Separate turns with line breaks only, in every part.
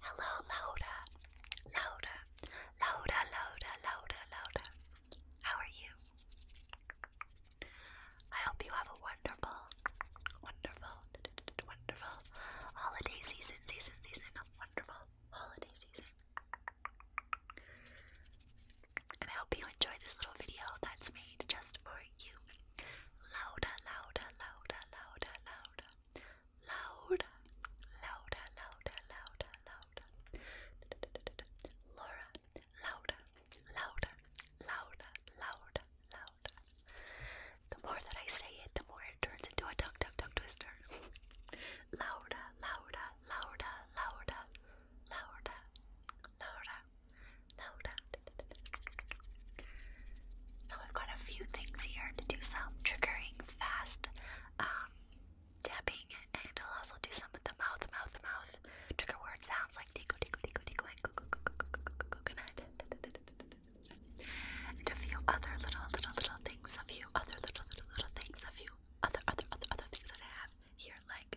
Hello, Laura. Laura. Laura, Laura, Laura, Laura. How are you? I hope you have a wonderful, wonderful, wonderful holiday season, season, season, wonderful holiday season. And I hope you enjoy this little video that's made just for you. Louder, louder, louder, louder, louder. Louder, louder, louder, louder, louder. Laura, louder, louder, louder, louder, louder. The more that I say it, the more it turns into a tongue, tongue, tongue twister. louder, louder, louder, louder, louder, louder. Loud. So I've got a few things here to do some triggering fast um, tapping, and I'll also do some of the mouth, mouth, mouth trigger word sounds like tico, tico, tico, tico, and coconut, and a few other little, little, little things, a few other little, little, little things, a few other, other, other, other things that I have here, like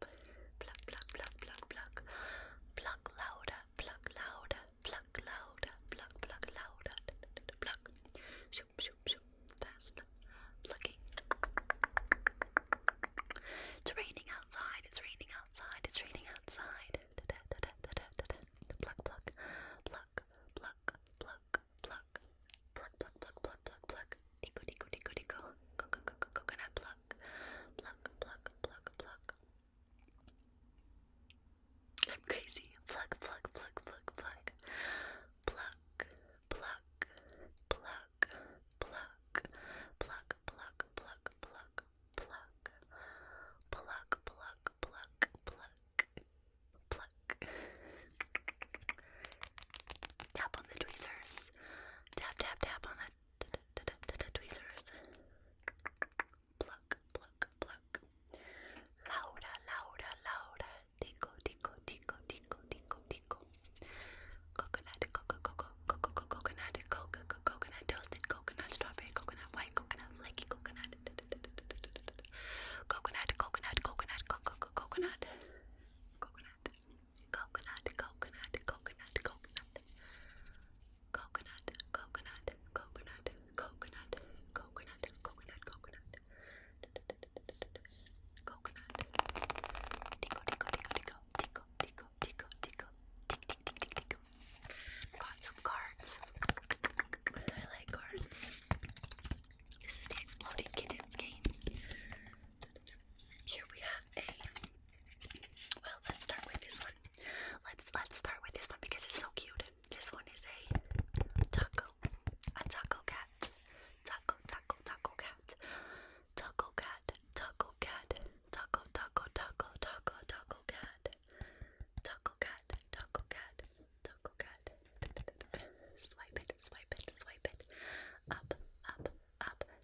pluck, pluck, pluck, pluck, pluck, pluck louder, pluck louder, pluck louder, pluck, pluck louder, pluck, shoop, shoop, shoop, fast, plucking. It's raining outside. It's raining outside. It's raining outside. Pluck, pluck, pluck, pluck, pluck, pluck, pluck, pluck, pluck, pluck, pluck, pluck. Tico, tico, tico, tico. Coconut pluck pluck, pluck, pluck, pluck, I'm crazy. pluck, pluck, pluck, pluck. Pluck, pluck, pluck, pluck, pluck, pluck, pluck, pluck, pluck, pluck, pluck, pluck, pluck, pluck. Tap on the tweezers. Tap, tap, tap on the tweezers. Pluck, pluck, pluck. Laura, Laura, Laura. Tico, tico, tico, tico, tico, tico. Coconut, coco, coco, coco, coconut, coconut, toasted coconut, strawberry, coconut, white coconut, flaky coconut, coconut, coconut, coconut. Coconut coconut, coconut, coconut, coconut, coconut, coconut, coconut, coconut, coconut, coconut, coconut, coconut, tico, tico, tico, tico, tico, tico, tico, tick, tick, tick, tick, tick. Got some cards. I like cards. This is the Exploding Kittens game. Here we have a well let's start with this one. Let's let's start with this one because it's so cute. This one is a taco. A taco cat. Taco taco taco cat. Taco cat. Taco cat. Taco taco taco taco taco cat. Taco cat. Taco cat. Taco cat. Swipe it, swipe it, swipe it. Up, up, up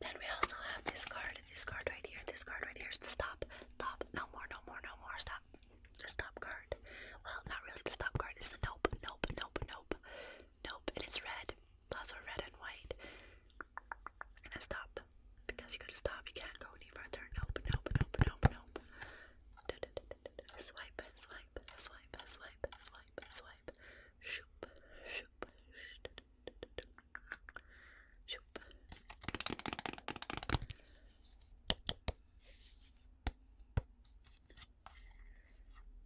Then we also have this card, this card right here, this card right here is stop, stop, no more, no more, no more, stop stop. The stop card. Well, not really the stop card. It's the nope, nope, nope, nope, nope. it's red. also red and white. And a stop. Because you gotta stop. You can't go any further. Nope, nope, nope, nope, nope. Swipe, swipe, swipe, swipe, swipe, swipe. Shoop, shoop,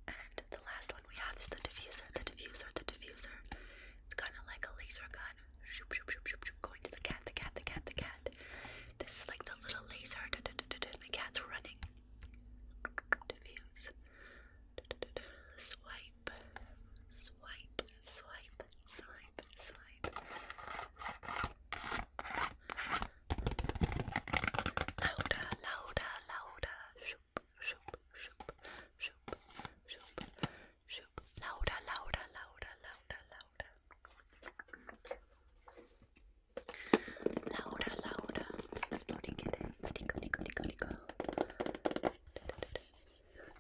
and the last one we have is the diffuser, the diffuser, the diffuser. It's kind of like a laser gun. Shoop, shoop, shoop, shoop, shoop. Going to the cat, the cat, the cat, the cat. This is like the little laser. Da, da, da, da, da. The cat's running. Diffuse. Da, da, da, da. Swipe, swipe, swipe, swipe, swipe vibe. Louder, louder, louder. Shoop, shoop, shoop, shoop, shoop, shoop. Louder, louder, louder, louder, louder. Louder, louder. Exploding kittens. Tickle, tickle, tickle, tickle.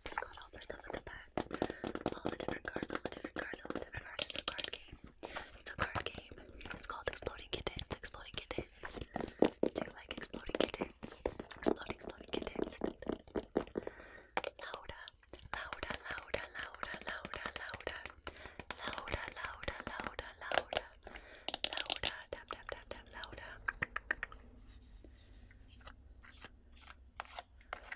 Just got all the stuff at the back. All the different cards, all the different cards, all the different cards. It's a card game. It's a card game. It's called Exploding Kittens. Exploding Kittens. Do you like Exploding Kittens? Exploding, Exploding Kittens. Louda, louda, louda, louda, louda, louda. Louda, louda, louda, louda. Louda, tap, tap, tap, tap, louda.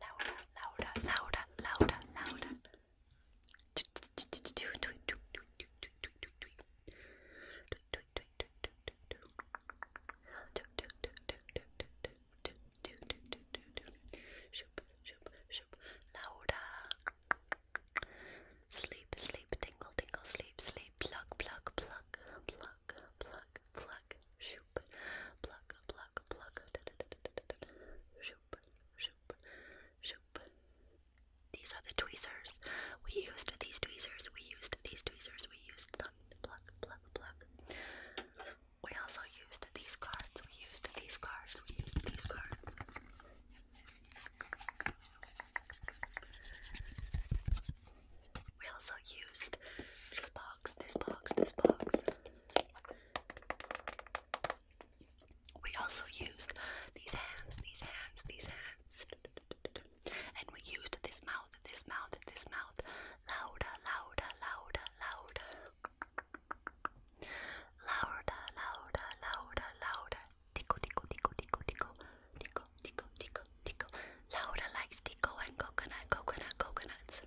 Laura, Laura, Laura, Laura, Laura. Laura. Sleep, sleep, tingle, tingle, sleep, sleep, plug, plug, plug, plug, plug, plug, shoo, shoop, pluck, pluck, shoop, shoop, shoop. These are the tweezers. We used these tweezers. We used these tweezers. We used them. Pluck, pluck, pluck. We also used these cards. We used these cards. We used these cards. We also used this box, this box, this box. We also used these hands, these hands, these hands. And we used this mouth, this mouth, this mouth. Louder, louder, louder, louder. Louder, louder, louder, louder. Tickle, tickle, tickle, tickle, tickle. Tickle, tickle, tickle, tickle. Louder like stickle and coconut, coconut, coconuts.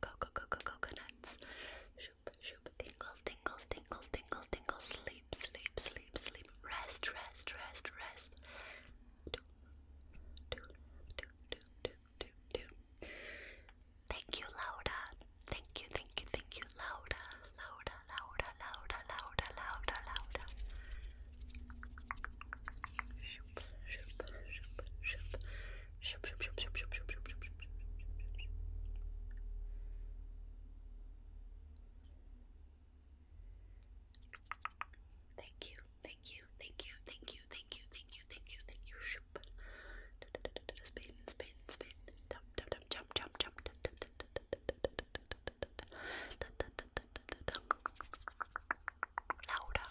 Coco, coco, coconuts. Shoop, shoop. Tingles, tingles, tingles, tingles, tingles. Sleep, sleep, sleep, sleep. Rest, rest, rest, rest. Thank you, Laura. Thank you, thank you, thank you, Laura. Laura, Laura, Laura, Laura, Laura, Laura. Thank you, thank you, thank you, thank you, thank you, thank you, thank you, thank you. Shoop. Spin, spin, spin. Jump, jump, jump, jump, jump, jump. Louder.